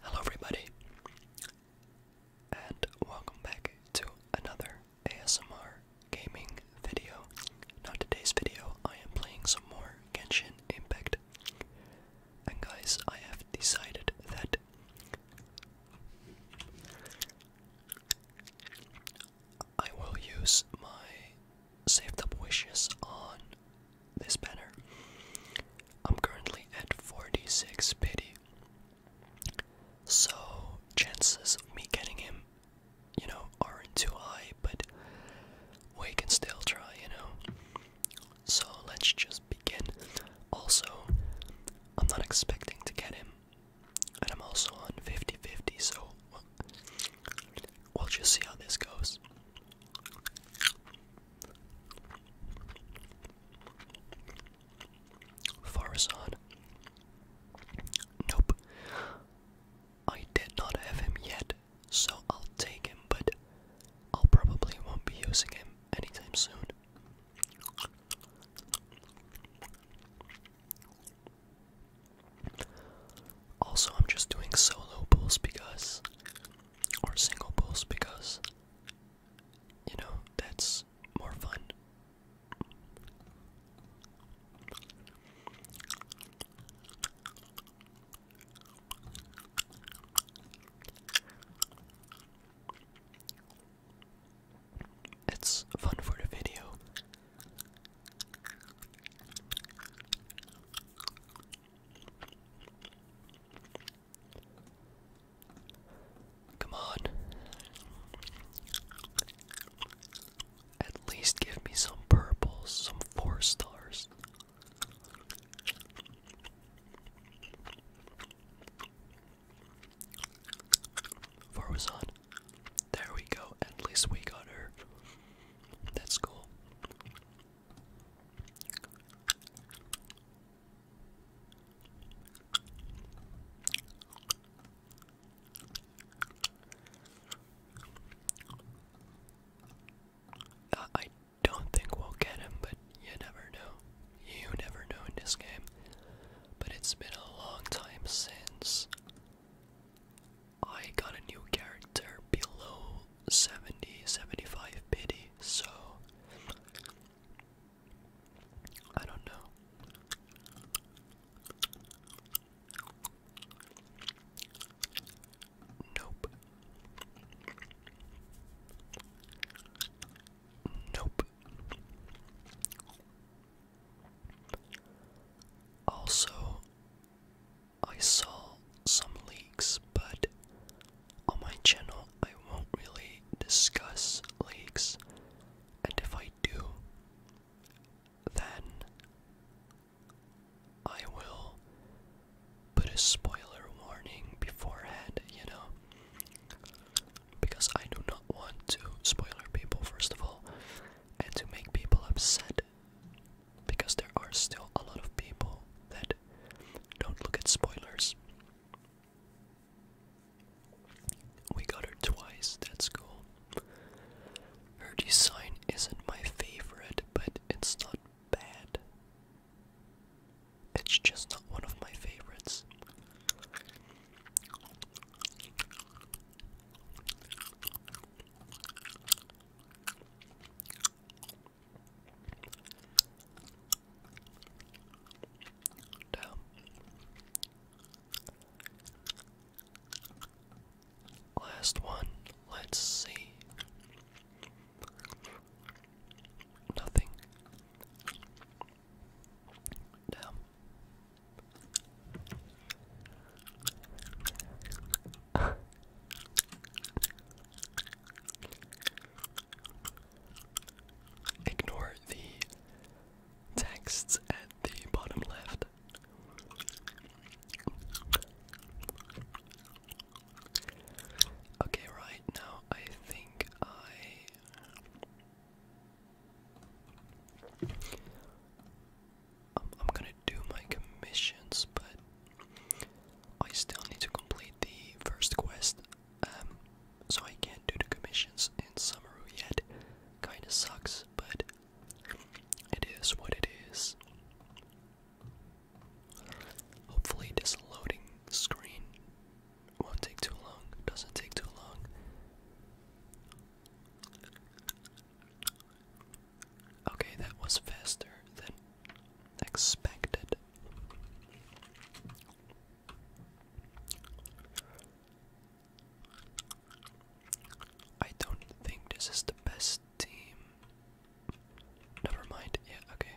Hello, everybody, and welcome back to another ASMR gaming video. Now, today's video, I am playing some more Genshin Impact, and guys, I have decided that I will use my saved up wishes on this banner. I'm currently at 46 pity. So chances of me getting him, you know, aren't too high, but we can still try, you know. So let's just begin. Also, I'm not expecting to get him. And I'm also on 50 50, so we'll just see how this goes. Farazan. Nope. I did not have him yet, so I'll take him, but I'll probably won't be using him anytime soon. Also, I'm just doing solo pulls because or single posts because you know that's more fun. It's fun for the video. Come on. At least give me some purples, some four stars. Four was on. There we go. At least we got her. That's cool. Uh, I don't think we'll get him, but you never know. You never know in this game. But it's been a long time since I got a new character below 70, 75 pity, so I don't know. Nope. Nope. Also, I saw some leaks, but on my channel I won't really discuss leaks, and if I do, then I will put a spoiler warning beforehand, you know? Because I do not want to spoiler people, first of all, and to make people upset. Because there are still a lot of people that don't look at spoilers. We got her twice, that's cool. Her design isn't my favorite, but it's not bad. It's just not one of my favorites. Damn. Last one, let's see. Nothing. Damn. Ignore the texts at the bottom left. Okay, right now I think I. I'm, gonna do my commissions, but I still need to complete the first quest, um, so I can't do the commissions in Samaru yet. Kinda sucks, but it is what it is. Hopefully, this loading screen won't take too long, doesn't take too long. Okay, that was faster than expected. I don't think this is the best team. Never mind, yeah, okay.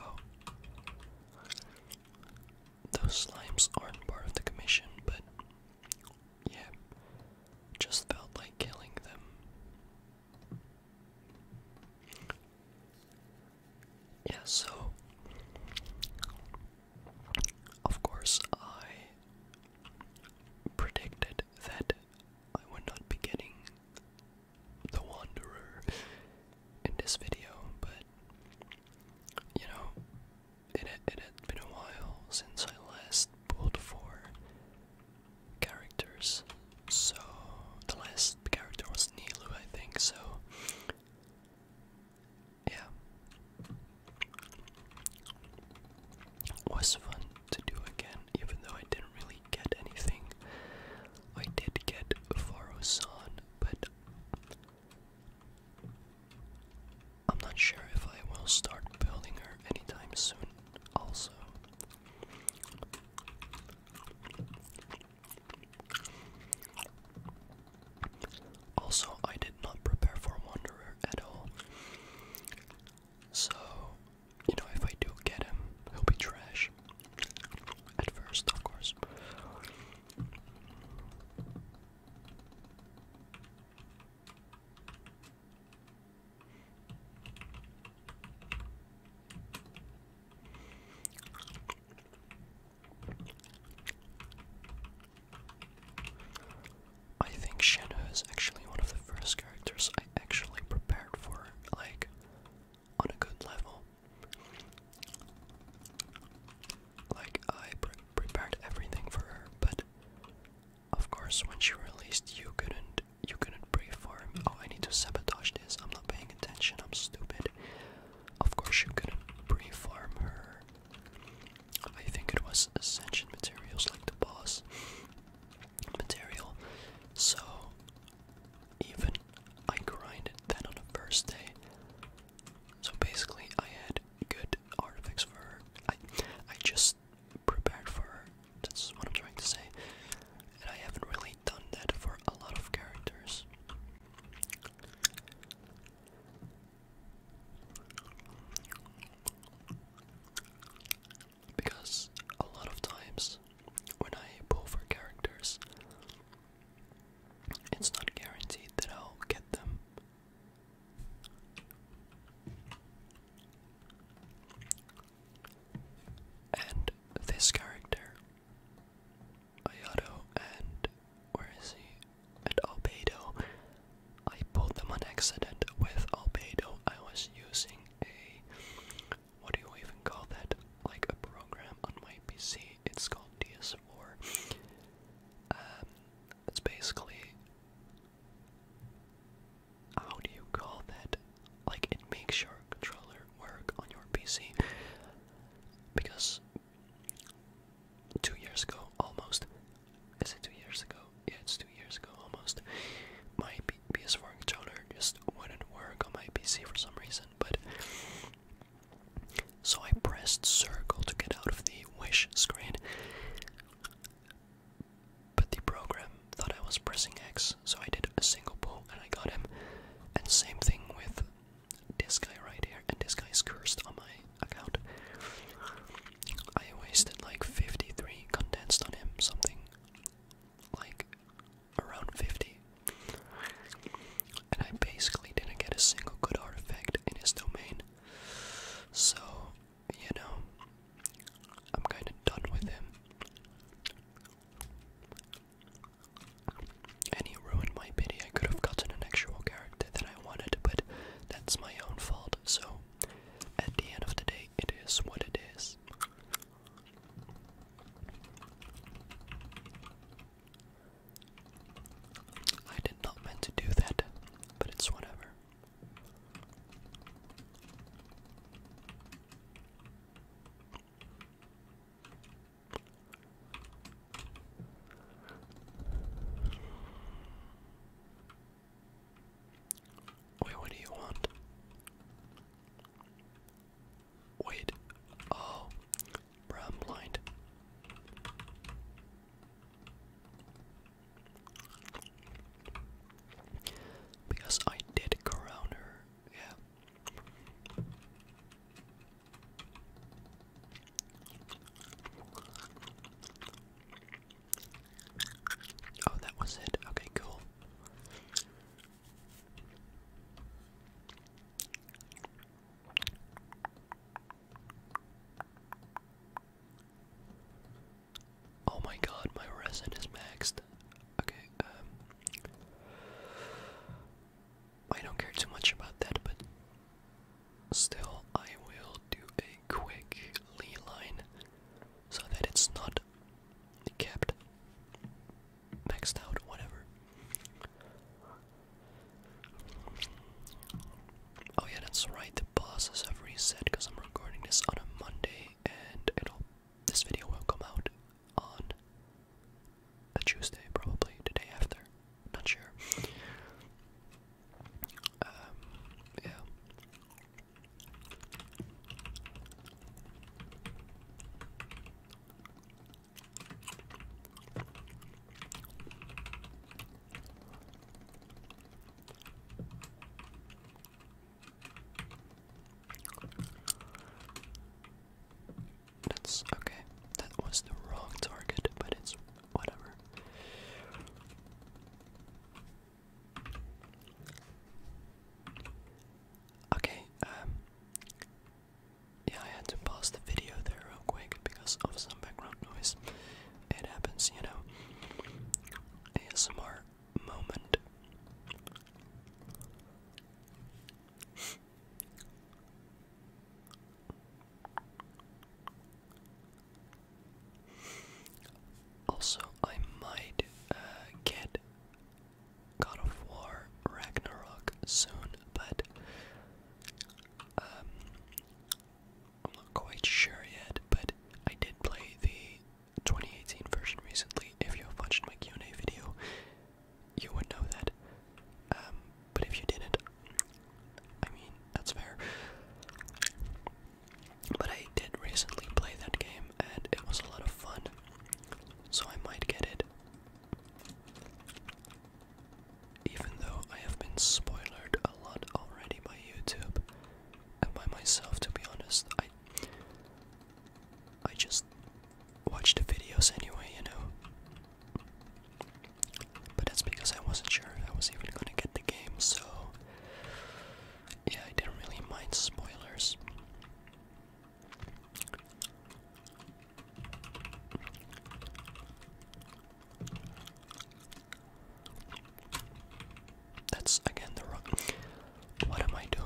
Oh. Those slimes aren't part of the commission, but yeah. Just felt like killing them. Yeah, so of course I predicted that I would not be getting the Wanderer in this video, but you know, it, it had been a while since I last pulled for characters, so the last character was Nilu, I think, so yeah was fun to do again, even though I didn't really get anything. I did get Forosan, but I'm not sure if I will start building her anytime soon, also. Also, I did not prepare for Wanderer at all. So, you know, if I do get him, he'll be trash. At first, of course. I think Shenhe is actually one of the first characters I actually prepared for, like, on a good level. Like, I prepared everything for her, but of course, when she released, you couldn't, you couldn't pray for him. Oh, I need to sabotage this. I'm not paying attention. I'm stupid. Of course, you couldn't preform her I think it was Ascension Materials, like the boss material. So even I grinded that on the first day. So basically, I had good artifacts for her. I, I just prepared for her. That's what I'm trying to say. And I haven't really done that for a lot of characters. Because a lot of times when I pull for characters, it's not guaranteed that I'll get them. And this character, Ayato, and where is he? And Albedo I put them on accident with Albedo. I was using a what do you even call that? Like a program on my PC. It's called DS4. Um, it's basically how do you call that? Like it makes your controller work on your PC because two years ago almost is it two years ago? Yeah, it's two years ago almost. My PS4 controller just wouldn't work on my PC for some reason, but. So I pressed circle to get out of the wish screen. But the program thought I was pressing X, so I did a single pull and I got him. And same thing with this guy right here, and this guy's cursed on my account. I wasted like 53 condensed on him, something like around 50. And I basically didn't get a single good artifact in his domain. So, you know, I'm kinda done with him. And he ruined my pity. I could have gotten an actual character that I wanted, but that's my own fault. So at the end of the day, it is what it is. I did not meant to do that, but it's whatever. Wait, what do you want? Wait. Oh, bro, I'm blind. Because I did crown her, yeah. Oh, that was it. Okay, cool. Oh my god, my resin is maxed. Okay, um. I don't care too much about that, but still, I will do a a line so that it's not kept maxed out, whatever. Oh, yeah, that's right. The bosses have reset because I'm recording this on a Monday, and it'll this video will come out on a Tuesday, probably the day after. Not sure. Um, yeah. That's okay. That was the wrong target, but it's whatever. Okay, um yeah, I had to pause the video there real quick because of some background noise. It happens, you know. ASMR moment. Also, I might uh, get God of War Ragnarok soon, but um, I'm not quite sure yet. But I did play the 2018 version recently. If you watched my Q&A video, you would know that. Um, but if you didn't, I mean, that's fair. But I did recently play that game and it was a lot of fun. So I might get it. Even though I have been spoiled a lot already by YouTube and by myself to be honest, I I just watched the videos anyway, you know. But that's because I wasn't sure if I was even gonna get the game, so yeah, I didn't really mind spoilers. That's again the wrong. What am I doing?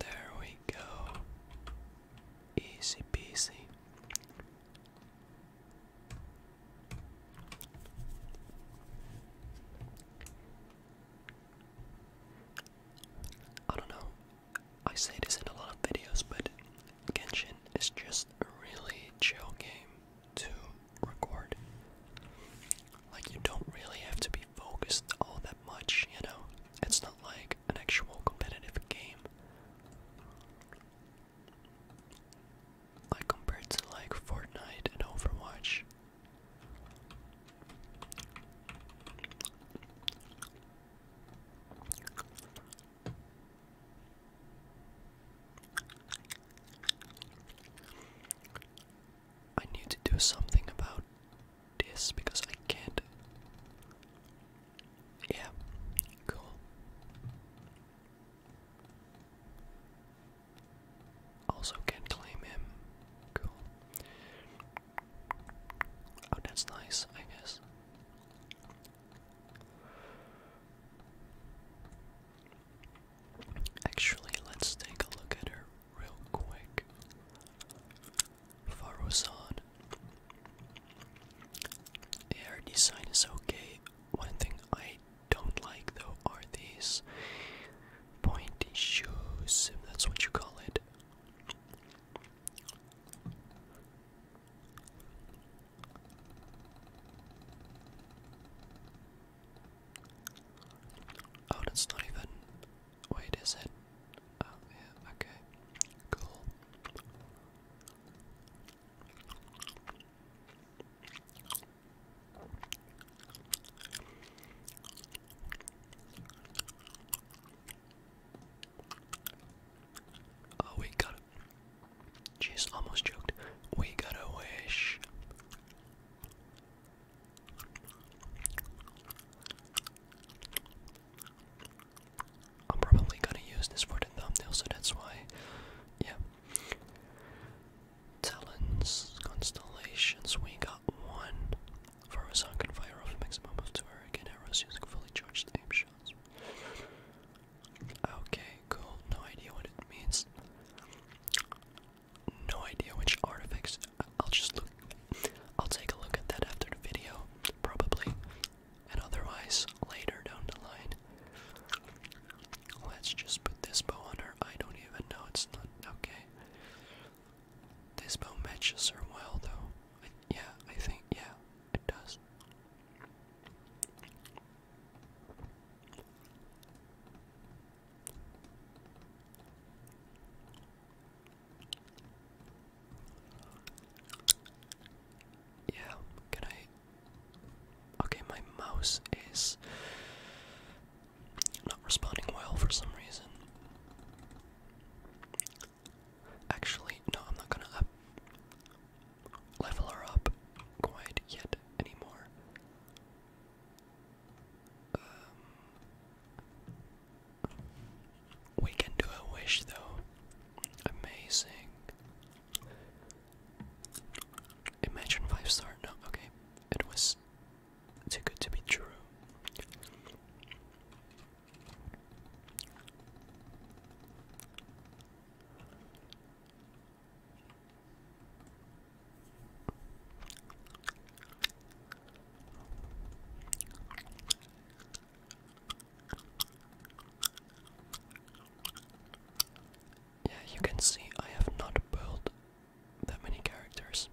There we go. Easy peasy. I don't know. I say this in a lot of videos, but Genshin is just a really chill game to record. Like, you don't really have to be focused all that much, you know? It's not like an actual competitive game. Like, compared to like Fortnite and Overwatch. I need to do something about this because I can't. Yeah, cool. Also, can claim him. Cool. Oh, that's nice, I guess. Actually, let's take a look at her real quick. Farozan. Yeah, her design is okay. One thing I don't like though are these pointy shoes, if that's what you call it. Oh, that's not even. Wait, is it? Oh, yeah, okay. Cool. Oh, we got it. Jeez, almost choked. We got a wish. I'm probably gonna use this for the thumbnail, so that's why. Yeah. Talons, constellations, we got one. For a song can fire off a maximum of two hurricane arrows using fully charged aim shots. Okay, cool. No idea what it means. No idea which artifacts. I'll just look. I'll take a look at that after the video, probably, and otherwise later down the line. Let's just put this bow on her. I don't even know. It's not okay. This bow matches her well, though. Yeah, I think, yeah, it does. Yeah, can I? Okay, my mouse is not responding well for some reason. Actually, no, I'm not gonna up level her up quite yet anymore. Um, we can do a wish though. Amazing. Imagine five star. No, okay. It was too good to be true. Yeah, you can see I have not built that many characters.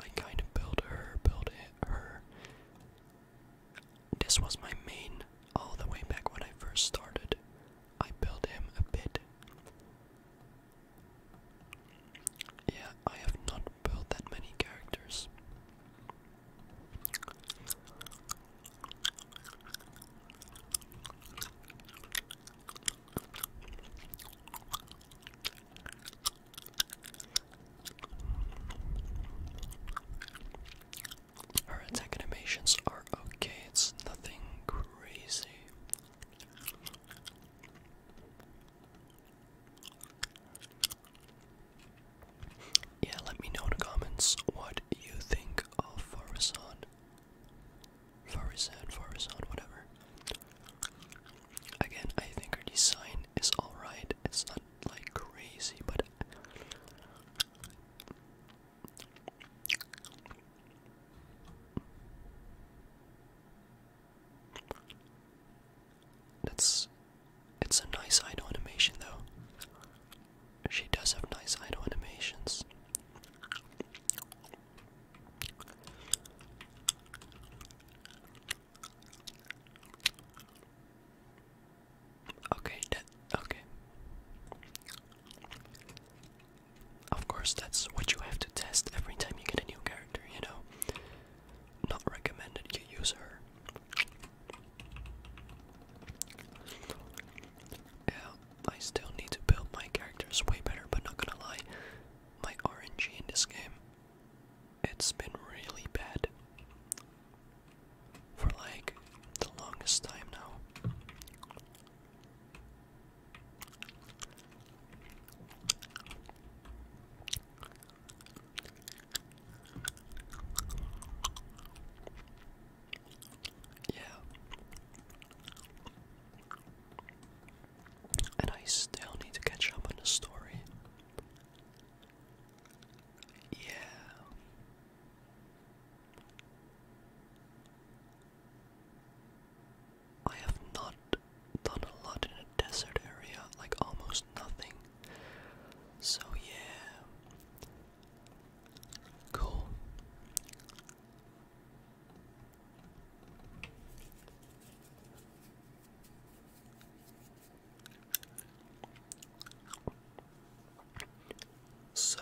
I kind of built her, built her. This was my main all the way back when I first started. I built him a bit. Yeah, I have not built that many characters. Her attack animations are okay, it's nothing crazy. Yeah, let me know in the comments what you think of Farazan. Farazan, Farazan, whatever. Again, I think her design is alright. It's not like crazy, but that's it's a nice idle animation though. She does have nice idle animations. Okay, that okay. Of course, that's what you have to test every time you get a new character, you know. Not recommended you use her. Yeah, I still need to build my characters way better, but not gonna lie, my RNG in this game it's been really bad for like the longest time now. Yeah. And I still need to catch up on the story. Yeah. I have not done a lot in a desert area, like almost nothing. So, yeah. Cool. So,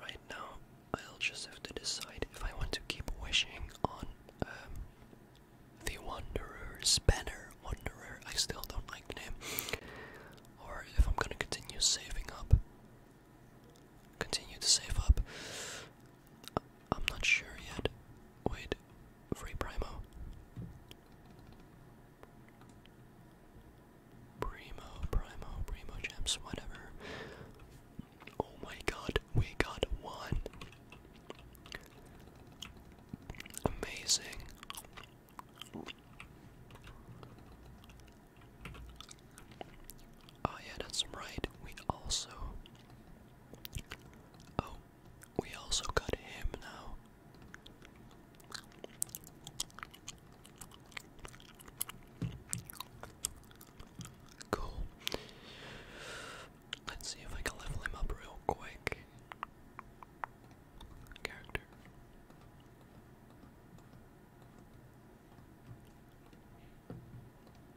right now, I'll just have to decide if I want to keep wishing on um, the Wanderer's banner. Wanderer, I still don't like the name. Or if I'm gonna continue saving up. Continue to save up. I'm not sure yet. Wait, free Primo. Primo, Primo, Primo gems, whatever. Oh my god, we got one. Amazing. Oh yeah, that's right. We also. Oh, we also got him now. Cool. Let's see if I can level him up real quick. Character.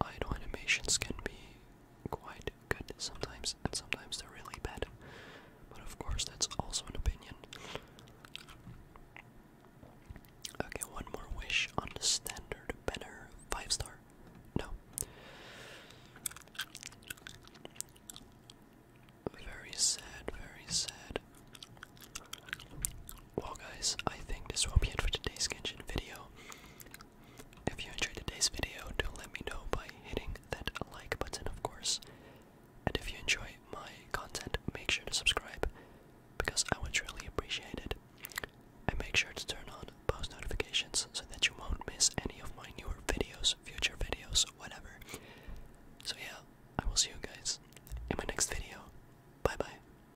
Idle animations can be quite good sometimes, and sometimes they're really bad. But of course, that's also an opinion. Okay, one more wish on the standard banner. Five star. No. Very sad, very sad. Well, guys, I think this will be it for today's Genshin video. If you enjoyed today's video, do let me know by hitting that like button, of course. And if you enjoy my content, make sure to subscribe because I would truly appreciate it. And make sure to turn on post notifications so that you won't miss any of my newer videos, future videos, whatever. So, yeah, I will see you guys in my next video. Bye bye.